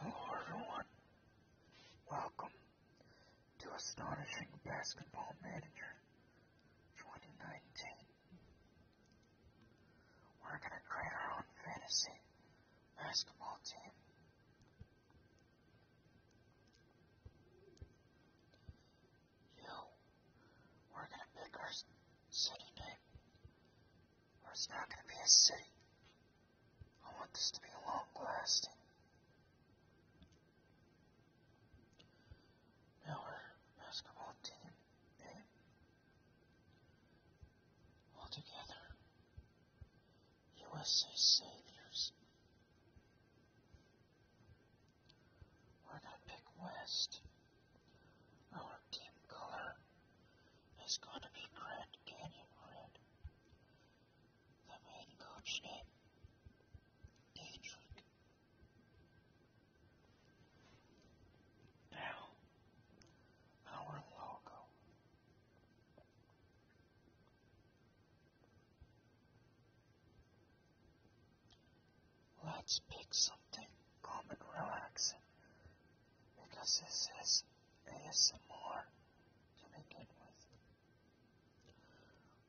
Hello everyone. Welcome to Astonishing Basketball Manager 2019. We're going to create our own fantasy basketball team you, we're going to pick our city name. Or it's not going to be a city. I want this to be long lasting. our basketball team all together, USA Saviors. We're gonna pick West. Our team color is gonna be Grand Canyon Red. The main coach name, Dietrich. Now, our logo. Let's pick something calm and relaxing because this is ASMR to begin with.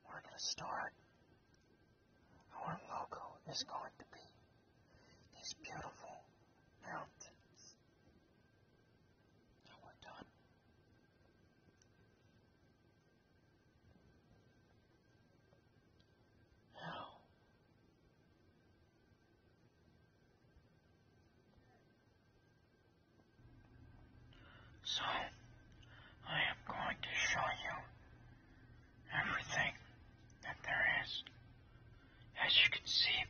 We're going to start. Our logo is going to be these beautiful mountains. Now we're done. So, I am going to show you everything that there is. As you can see,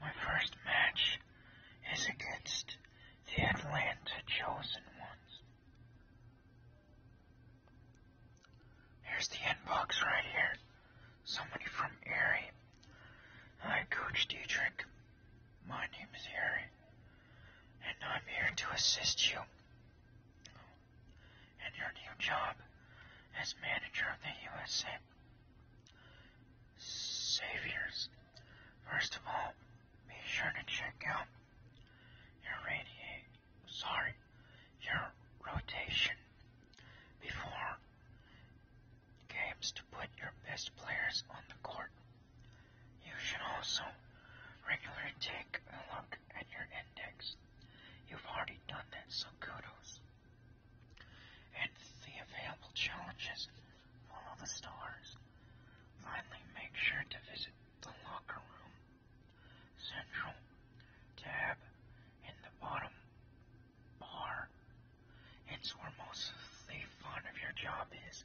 my first match is against the Atlanta Chosen Ones. Here's the inbox right here. Somebody from Erie. Hi, Coach Dietrich. My name is Erie, and I'm here to assist you in your new job as manager of the USA Saviors. First of all, be sure to check out your radiate sorry, your rotation before games to put your best players on the court. You should also regularly take a look at your index. You've already done that, so kudos. And the available challenges, follow the stars. Finally, make sure to visit the locker room Central tab in the bottom bar. It's where most of the of your job is.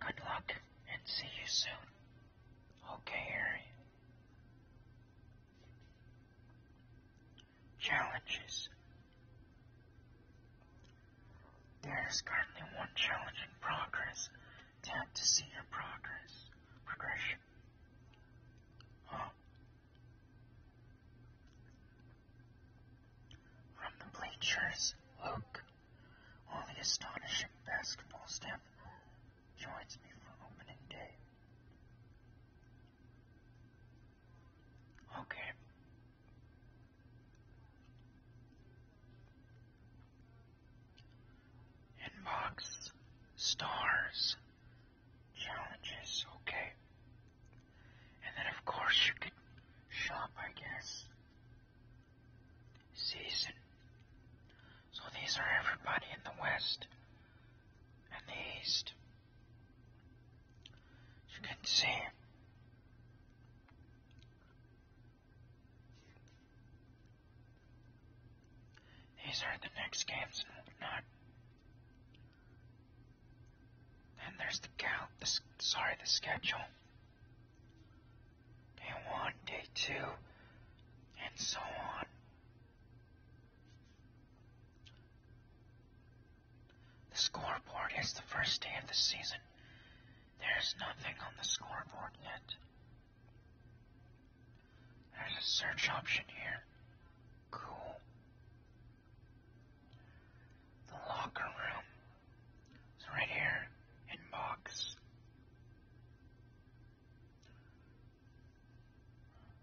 Good luck and see you soon. Okay, Harry. Challenges. There is currently one challenge in progress. Tap to see your progress. Progression. From the bleachers, Luke, only astonishing basketball step, joins me for opening day. Okay. Inbox, stars, challenges, okay. And then, of course, you could shop, I guess. Season. So these are everybody in the West and the East. you can see, these are the next games and there's the cal sorry, the schedule. Day one, day two, and so on. The scoreboard is the first day of the season. There's nothing on the scoreboard yet. There's a search option here. Cool. The locker room. It's right here in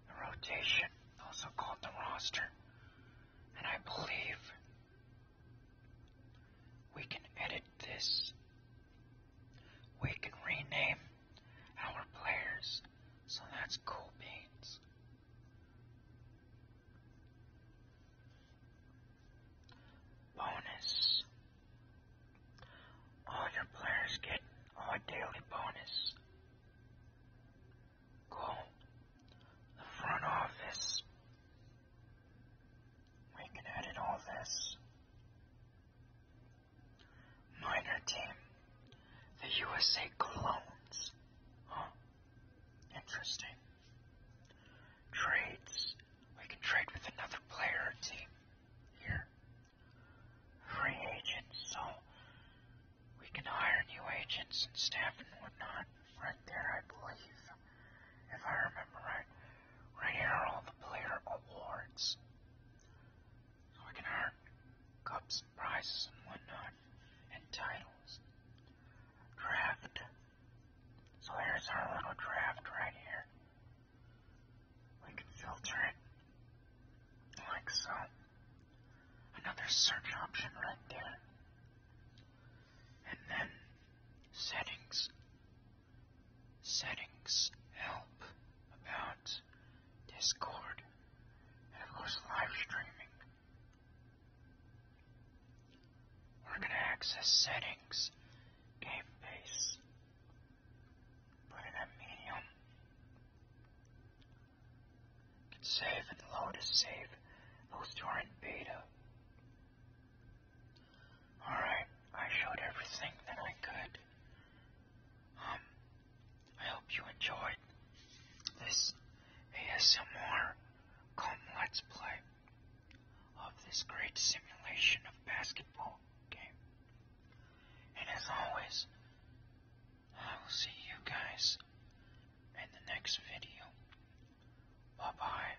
The rotation, also called the roster. And I believe we can edit this we can rename our players, so that's cool beans. Bonus. All your players get a daily bonus. Cool. The front office. We can edit all this. Minor team. The USA clones, Huh. Interesting. Trades. We can trade with another player team here. Free agents, so we can hire new agents and staff and whatnot right there, I believe. If I remember right right here are all the player awards. So we can earn cups and prizes and whatnot, and titles. Draft. So here's our little draft right here. We can filter it like so. Another search option right there. And then settings settings, help, about, Discord, and of course live streaming. We're going to access settings, game base, put it at medium. save and load as save. Those are in beta. Alright, I showed everything that I could. Um, I hope you enjoyed this ASMR cum let's play of this great simulation of basketball game. And as always, I will see you guys in the next video. Bye bye.